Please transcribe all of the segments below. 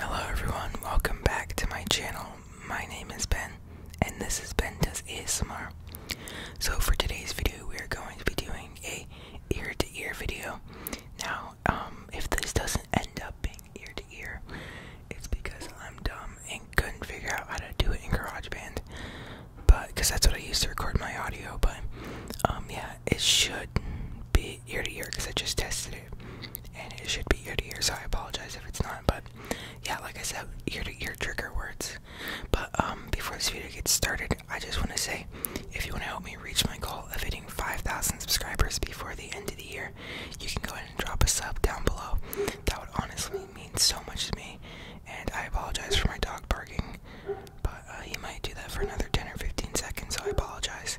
Hello everyone, welcome back to my channel. My name is Ben, and this is Ben Does ASMR. So for today's video, we are going to be doing a ear-to-ear video. Now, um, if this doesn't end up being ear-to-ear, it's because I'm dumb and couldn't figure out how to do it in GarageBand. But, because that's what I use to record my audio, but, um, yeah, it should be ear to ear because I just tested it and it should be ear to ear, so I apologize if it's not. But yeah, like I said, ear to ear trigger words. But um, before this video gets started, I just want to say if you want to help me reach my goal of hitting 5,000 subscribers before the end of the year, you can go ahead and drop a sub down below. That would honestly mean so much to me. And I apologize for my dog barking, but uh, he might do that for another 10 or 15 seconds, so I apologize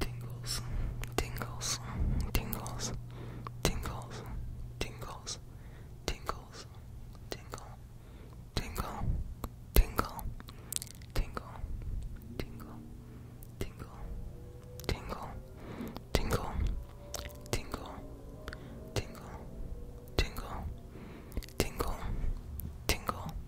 Tingles, tingles, tingles, tingles, tingles, tingles, tingle, tingle, tingle, tingle, tingle, tingle, tingle, tingle, tingle, tingle, tingle, tingle, tingle,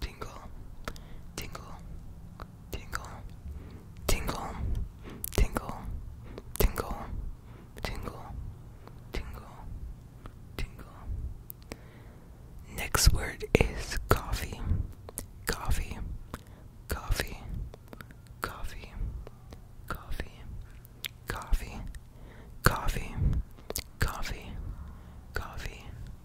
tingle, tingle, tingle, tingle, tingle, tingle, tingle, tingle, tingle. Next word is coffee, coffee, coffee, coffee, coffee, coffee, coffee, coffee, coffee, coffee,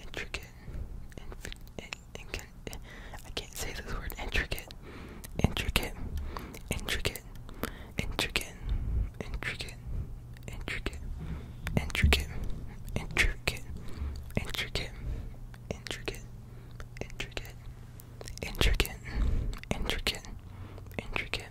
intricate, inf in, in, I can't say this word, intricate, intricate, intricate, intricate, intricate, intricate, intricate, intricate, intricate, intricate, intricate, intricate, intricate, intricate, intricate,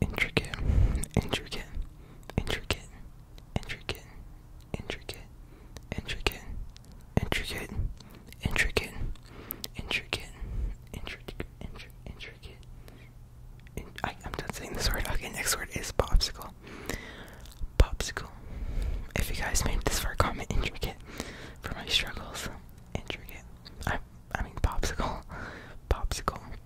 intricate, intricate, intricate, intricate, intricate, intricate, intricate, intricate, intricate, intricate, intricate. I, I'm done saying this word. Okay, next word is popsicle. Popsicle. If you guys made this far, comment intricate for my struggles. Intricate. I, I mean popsicle. Popsicle.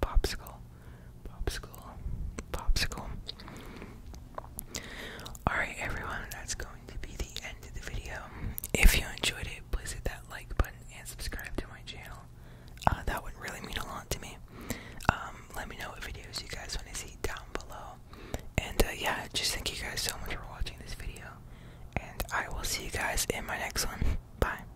Popsicle. Popsicle. Popsicle. Alright, everyone, that's going to be the end of the video. If you enjoyed it, please hit that like button and subscribe to my channel. Uh, that would really mean a lot to me. Um, let me know what videos you guys want to see down below. And uh, yeah, just thank you guys so much for watching this video. And I will see you guys in my next one. Bye.